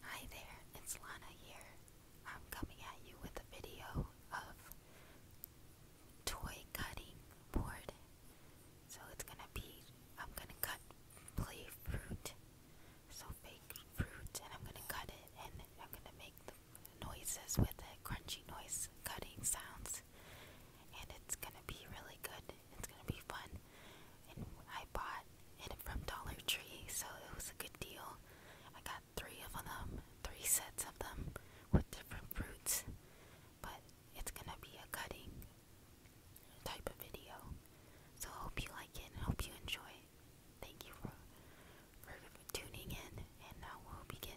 Hi there, it's Lana here. I'm coming at you with a video of toy cutting board. So it's gonna be, I'm gonna cut play fruit, so fake fruit, and I'm gonna cut it and I'm gonna make the noises with it, crunchy noise cutting sounds, and it's gonna be really good. It's gonna be fun. And I bought it from Dollar Tree, so it was a good deal. I got three of them, three sets of them with different fruits, but it's gonna be a cutting type of video. So hope you like it hope you enjoy thank you for, for tuning in, and now we'll begin.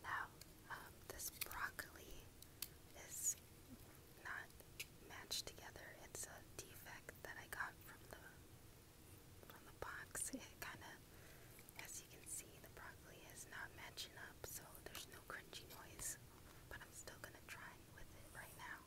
Now, um, this broccoli is not matched together. It's a defect that I got from the from the box. It kind of, as you can see, the broccoli is not matching up, so there's no crunchy noise. But I'm still gonna try with it right now.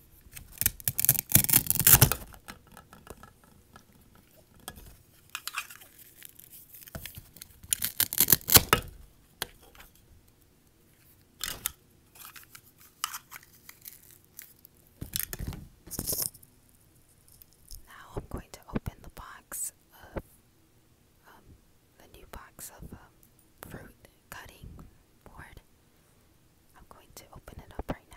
Now I'm going to open the box of um, the new box of um, fruit cutting board. I'm going to open it up right now.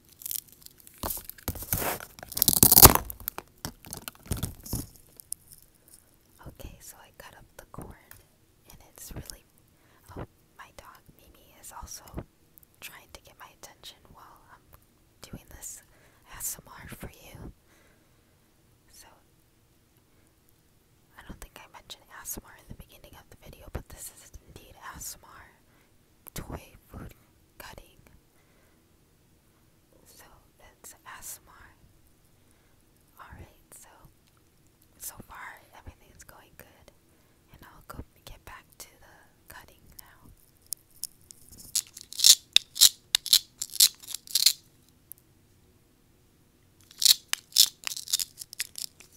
Okay, so I cut up the corn, and it's really. Oh, my dog Mimi is also trying to get my attention while I'm doing this ASMR for you. So, I don't think I mentioned ASMR in the beginning of the video, but this is indeed ASMR toy food cutting. So that's ASMR. Alright, so so far everything's going good. And I'll go get back to the cutting now.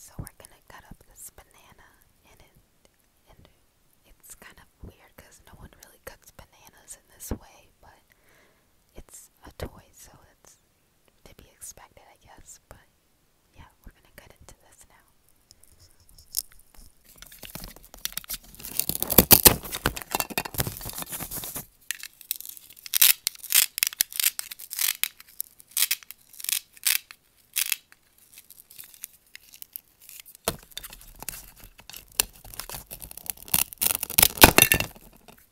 So we're going to cut up this banana and it and it's kind of weird cuz no one really cuts bananas in this way, but it's a toy so it's to be expected, I guess, but yeah, we're gonna get into this now.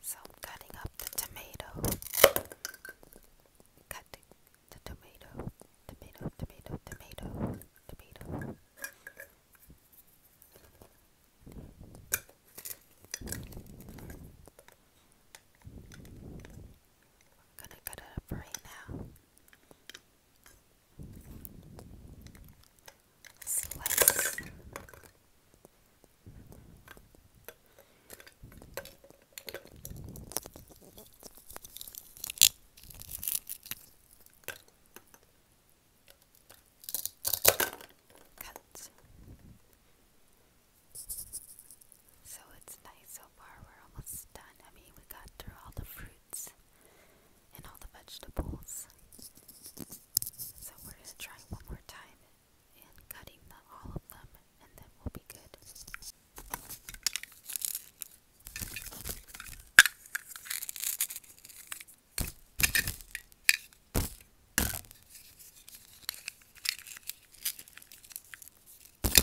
So I'm cutting up the tomato. Cutting the tomato. Tomato, tomato, tomato, tomato. I'm gonna cut it up right now. Slice. Cut. So it's nice so far. We're almost done. I mean, we got through all the fruits and all the vegetables. So we're going to try one more time and cutting them, all of them, and then we'll be good. Okay,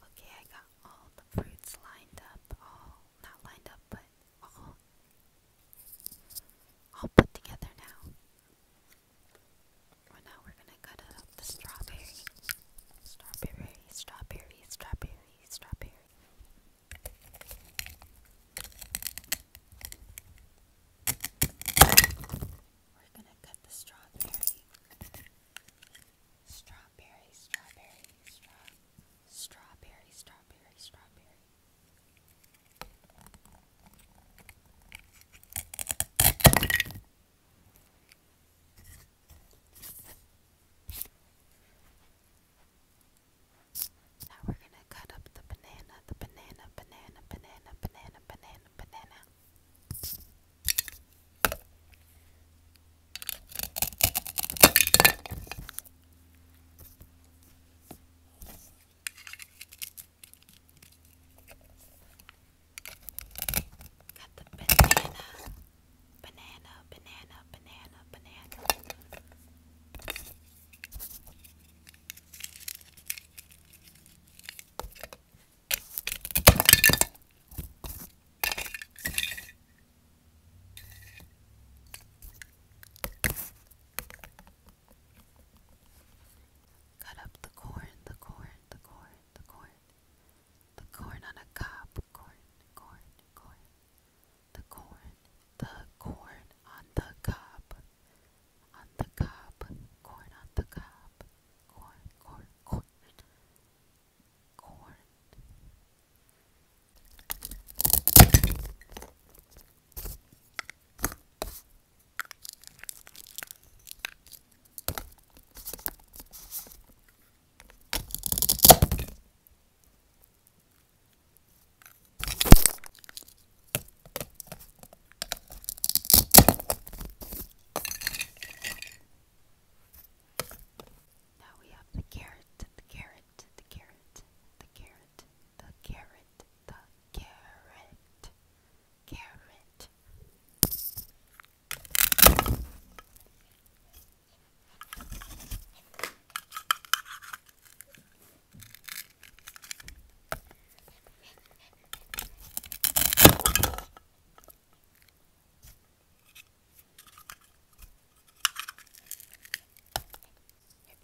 I got all the fruits lined up, all not lined up, but all all put together now. Well, now we're gonna cut it up love the strawberry. Strawberry, strawberry, strawberry, strawberry. We're gonna cut the strawberry. Strawberry, strawberry, stra strawberry, strawberry, strawberry. Now we're going to cut up the banana, the banana, banana, banana, banana, banana, banana. Got the banana, banana, banana, banana, banana. Cut up the corn, the corn, the corn, the corn. The corn on a cob, corn, corn, corn. The corn, the corn on the cob, on the cob, corn on the cob, corn, corn, corn, corn. Now we have the carrot, the carrot, the carrot, the carrot, the carrot, the carrot, carrot. If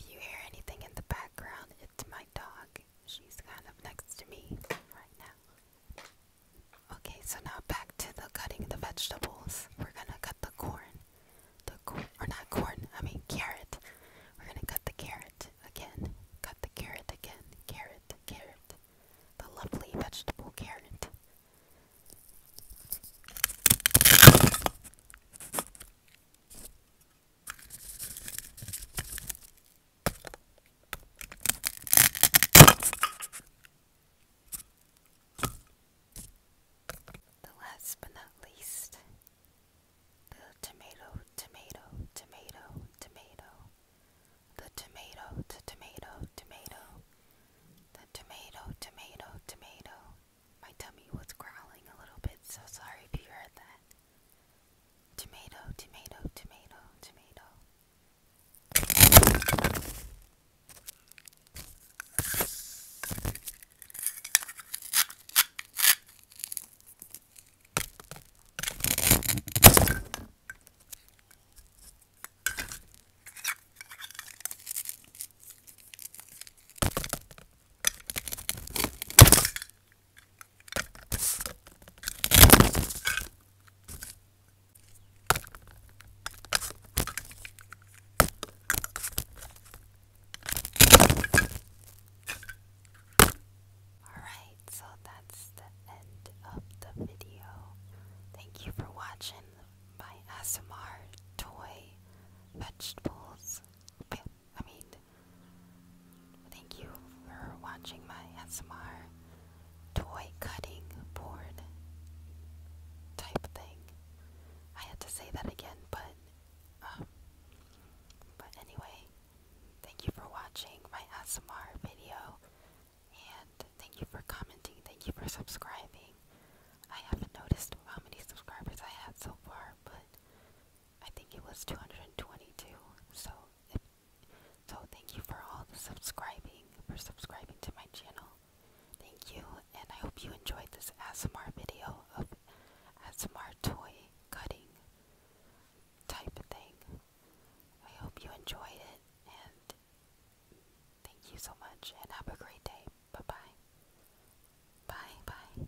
you hear anything in the background, it's my dog. She's kind of next to me right now. Okay, so now back to the cutting the vegetables. We're gonna cut the corn. The corn, or not corn, I mean carrot. We're gonna cut the carrot again. Cut the carrot again. Carrot, carrot. The lovely vegetable carrot. The last but not least, the tomato, tomato, tomato, tomato, the tomato, the tomato, tomato, the tomato, tomato, tomato. My tummy was growling a little bit, so sorry if you heard that. Tomato, tomato, tomato, tomato. Alright, so that's the end of the video. Thank you for watching my ASMR toy vegetables. I mean, Thank you for watching my SMR toy cutting board type thing. I had to say that again, but um, but anyway, thank you for watching my SMR video, and thank you for commenting. Thank you for subscribing. I haven't noticed how many subscribers I had so far, but I think it was 222. So so thank you for all the subscribing, for subscribing to my channel. Thank you, and I hope you enjoyed this ASMR video of ASMR toy cutting type of thing. I hope you enjoyed it, and thank you so much, and have a great day. Bye-bye. Bye-bye.